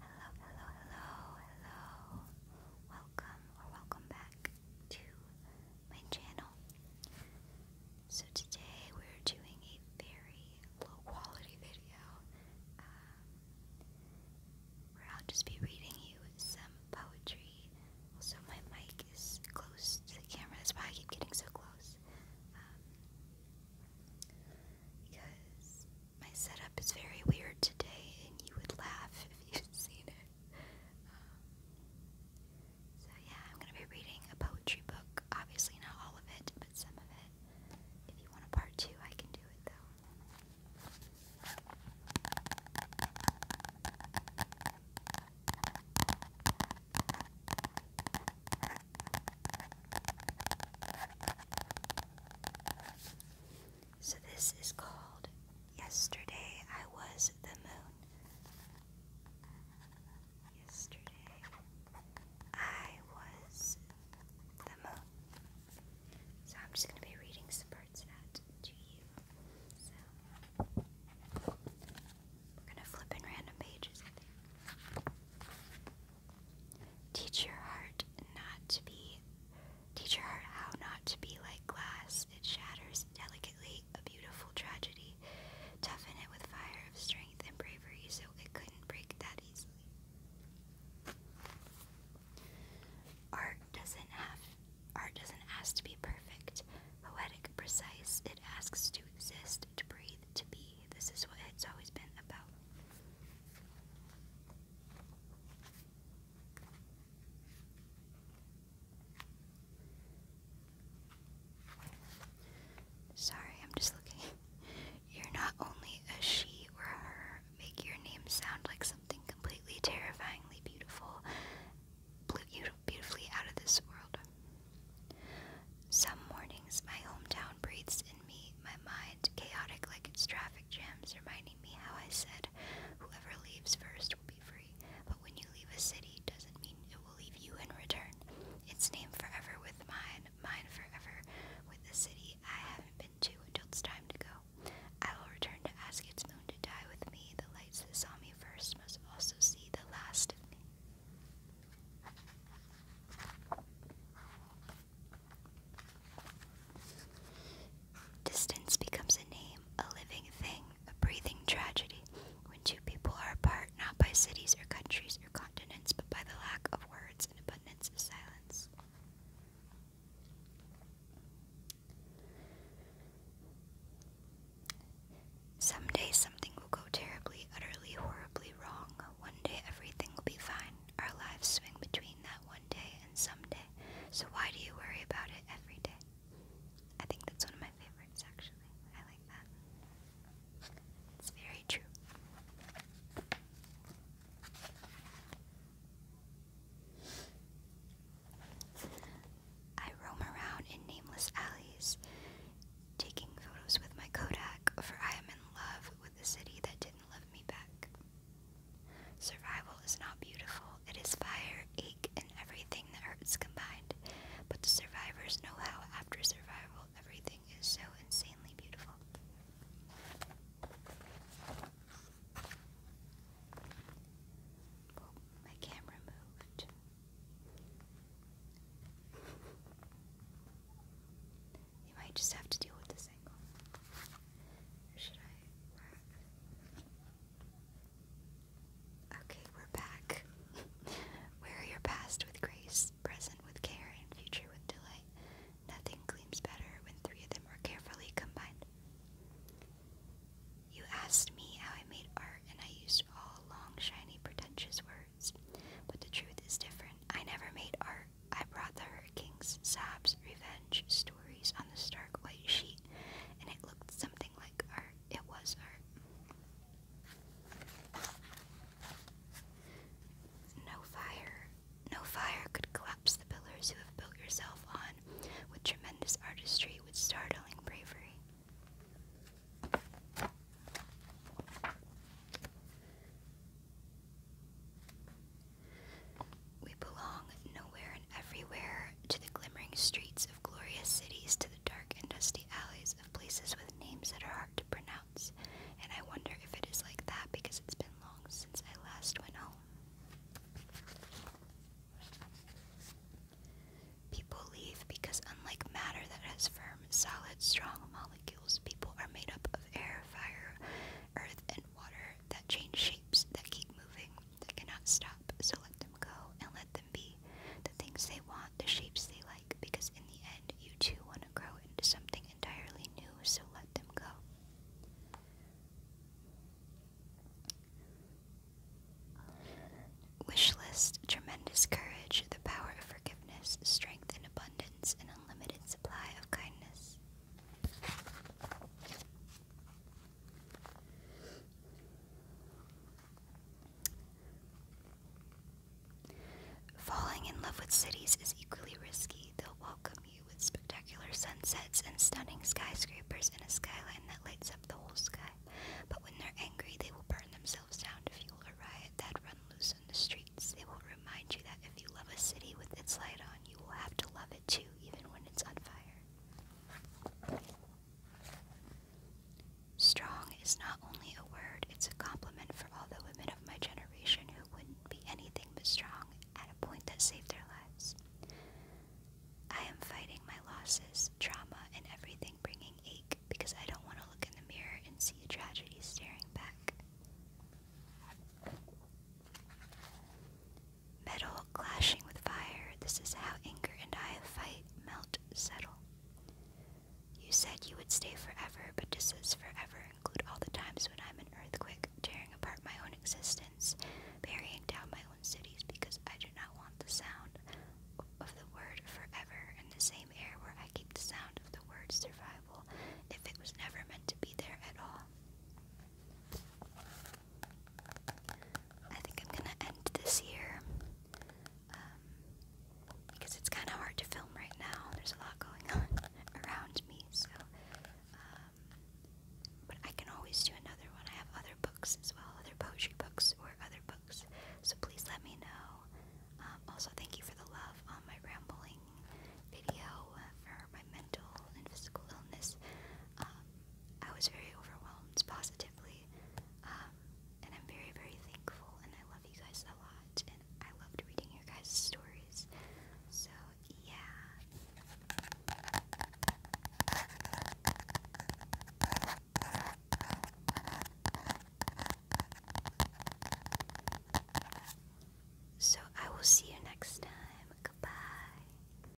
Hello, hello, hello, hello. Welcome or welcome back to my channel. So today we're doing a very low quality video. Um, where I'll just be reading you some poetry. Also, my mic is close to the camera, that's why I keep getting so close. Um, because my setup is very weird today, and you would laugh if you've seen it. Um, so, yeah, I'm going to be reading a poetry book. Obviously, not all of it, but some of it. If you want a part two, I can do it though. So, this is called Yesterday I Was the Moon. Yesterday I Was the Moon. So, I'm just going to be reading some parts out to you. We're gonna flip in random pages, Teach your heart not to be teach your heart how not to be like glass. It shatters delicately a beautiful tragedy. Toughen it with fire of strength and bravery so it couldn't break that easily. Art doesn't have art doesn't ask to be perfect, poetic, precise. It asks to exist to breathe, to be. This is what it's always been about. Sorry, I'm just looking. You're not only a she or a her, make your name sound like something completely terrifyingly beautiful beautifully out of this world. Some mornings, my hometown breathes in me, my mind chaotic like its traffic jams, reminding me how I said, whoever leaves first will be free. But when you leave a city, doesn't mean it will leave you in return. Its name forever with mine, mine forever with the city I haven't been to until it's time to go. I will return to ask to know to die with me, the lights that saw me first must also see the last of me. Distance becomes a name, a living thing, a breathing tragedy. When two people are apart, not by cities or countries or continents, but by the lack of words and abundance of silence. Someday something will go terribly, utterly, horribly wrong. One day everything will be fine. Our lives swing between that one day and someday. So why do you worry about it every day? I think that's one of my favorites, actually. I like that. It's very true. I roam around in nameless alleys, taking photos with my Kodak, for I am in love with the city that didn't love me back. Survival is not beautiful, it is fire, ache, and everything that hurts combined, but the survivors know how, after survival, everything is so insanely beautiful. Oh, my camera moved. You might just have to deal with this angle. should I Okay, we're back. Wear your past with grace, present with care, and future with delight. Nothing gleams better when three of them are carefully combined. You asked me how I made art, and I used all long, shiny, pretentious words. But the truth is different. I never made art. I brought the hurricanes, sobs, revenge, stories on the stark white sheet, and it looked something like art. It was art. No fire, no fire could collapse the pillars you have built yourself on with tremendous artistry, with startling bravery. We belong nowhere and everywhere, to the glimmering streets of glorious cities, to the dark and dusty alleys of places with names that are hard to pronounce. And I wonder if it is like that because it's been long since I last went home. People leave because, unlike matter that has firm, solid, strong molecules, people are made up of air, fire, earth, and water that change shapes, that keep moving, that cannot stop. So let them go and let them be the things they want, the shapes they like because in the end you too want to grow into something entirely new, so let them go. Wish list tremendous courage, the power of forgiveness, strength and abundance, an unlimited supply of kindness. Falling in love with cities is equally risky. They'll welcome you with spectacular sunsets and stunning skyscrapers and a skyline that lights up the whole sky. But when they're angry, they will burn themselves down to fuel a riot that run loose on the streets. They will remind you that if you love a city with its light on, you will have to love it too, even when it's on fire. Strong is not only a word, it's a compliment for all the women of my generation who wouldn't be anything but strong at a point that saved their lives. I am fighting my losses, trauma, and everything bringing ache because I don't want to look in the mirror and see a tragedy staring back. Metal clashing with fire, this is how anger and I fight, melt, settle. You said you would stay forever, but does this forever include all the times when I'm an earthquake, tearing apart my own existence, burying down my own cities because I do not want the sound of the word forever in the same air where I keep the sound of the word survival if it was never meant to be there at all? I think I'm gonna end this here. Um, because it's kind of hard to film right now. There's a lot going on around me, so. Um, but I can always do another one. I have other books as well, other poetry books or other books. So please let me know. Um, also, thank you for the love on my rambling video uh, for my mental and physical illness. I was very overwhelmed positively um, and I'm very, very thankful, and I love you guys a lot, and I loved reading your guys' stories. So, yeah. So, I will see you next time. Goodbye.